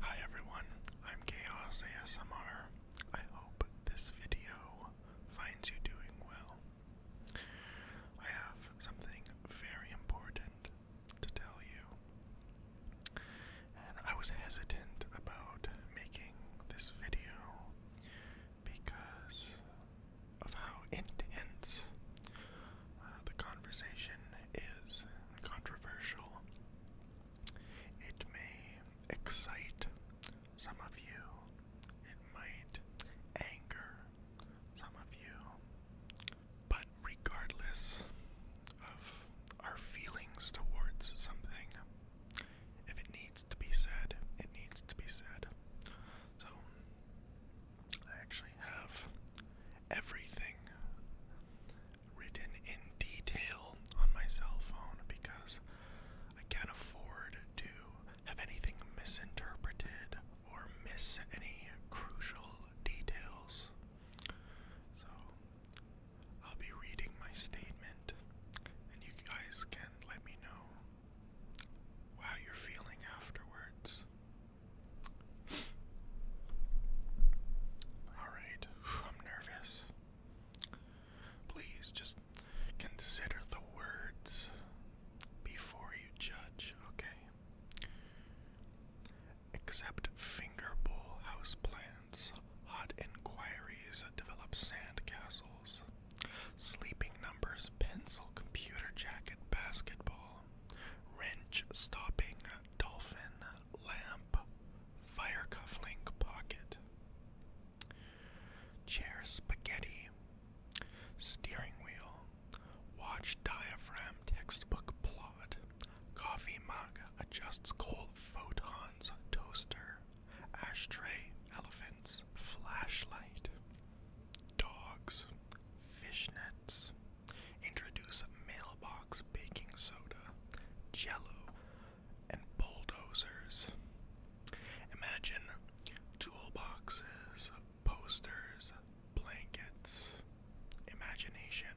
Hi everyone, I'm Chaos ASMR. I hope this video finds you doing well. I have something very important to tell you, and I was hesitant about making this video because of how intense the conversation is controversial. It may excite some of you, it might anger some of you, but regardless of our feelings towards something, if it needs to be said, it needs to be said. So, I actually have everything written in detail on my cell phone because I can't afford to have anything misinterpreted or miss any crucial details. So I'll be reading my statement and you guys can let me know how you're feeling afterwards. Alright, I'm nervous. Please just consider the words before you judge, okay? Except fingerbowl house plants, hot inquiries develop sand sleeping numbers, pencil, computer jacket, basketball wrench stopping dolphin lamp fire cufflink pocket chair spaghetti steering wheel watch diaphragm textbook plot coffee mug adjusts cold photons toaster ashtray elephants flashlight dogs, fishnets, introduce mailbox baking soda, jello, and bulldozers. Imagine toolboxes, posters, blankets, imagination.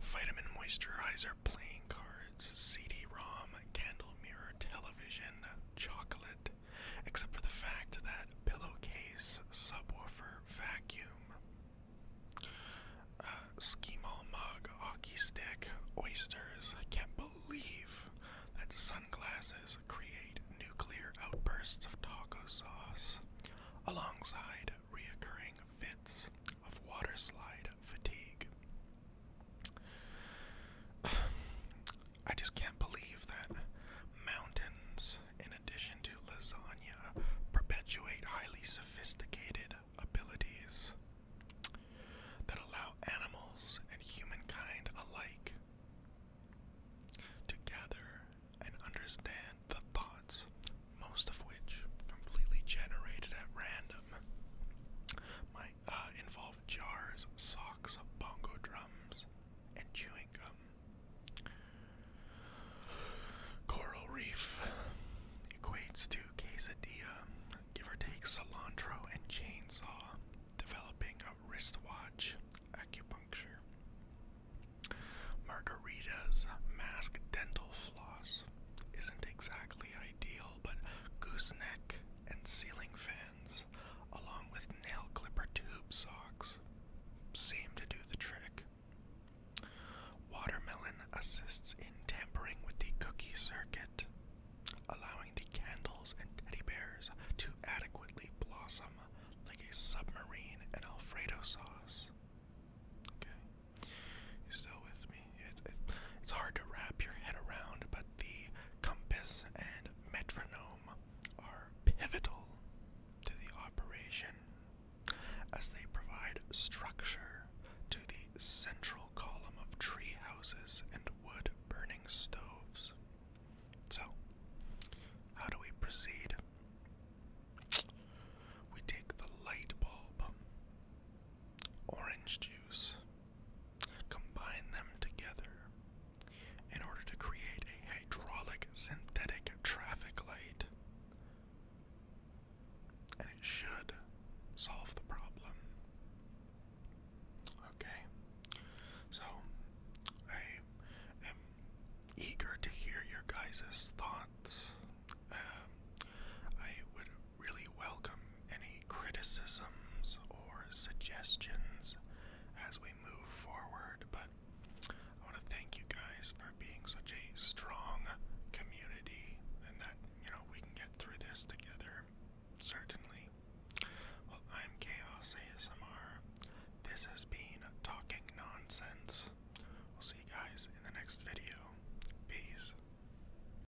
Vitamin moisturizer, playing cards, CD-ROM, candle mirror, television, chocolate, except for the fact that pillowcase, subwoofer, vacuum, uh, schemall mug, hockey stick, oysters. I can't believe that sunglasses create nuclear outbursts of taco sauce alongside reoccurring fits of waterslide fatigue. I just can't believe that mountains, in addition to lasagna, perpetuate highly sophisticated abilities that allow animals and humankind alike to gather and understand the thoughts, most of which completely generated at random. Uh, involve jars, socks, bongo drums, and chewing gum. Coral reef equates to quesadilla, give or take cilantro and chainsaw, developing a wristwatch, acupuncture. Margarita's mask dental floss isn't exactly ideal, but gooseneck and ceiling fans, along with nail clipper tube socks, seem to do the trick. Watermelon assists in tampering with the cookie circuit, allowing the candles and teddy bears to adequately blossom like a submarine and Alfredo sauce. Okay, you still with me? it's hard to wrap your head around, but the compass and metronome are pivotal to the operation as they provide structure to the central column of tree houses and wood burning stoves. So, how do we proceed? We take the light bulb orange juice. Combine them together in order to create a hydraulic synthetic traffic light. And it should solve the problem. Okay. So I am eager to hear your guys' thoughts. Um, I would really welcome any criticisms or suggestions as we move forward, but I want to thank you guys for being such a strong community and that, you know, we can get through this together, certainly. Well, I'm Chaos ASMR. This has been Talking Nonsense. We'll see you guys in the next video. Peace.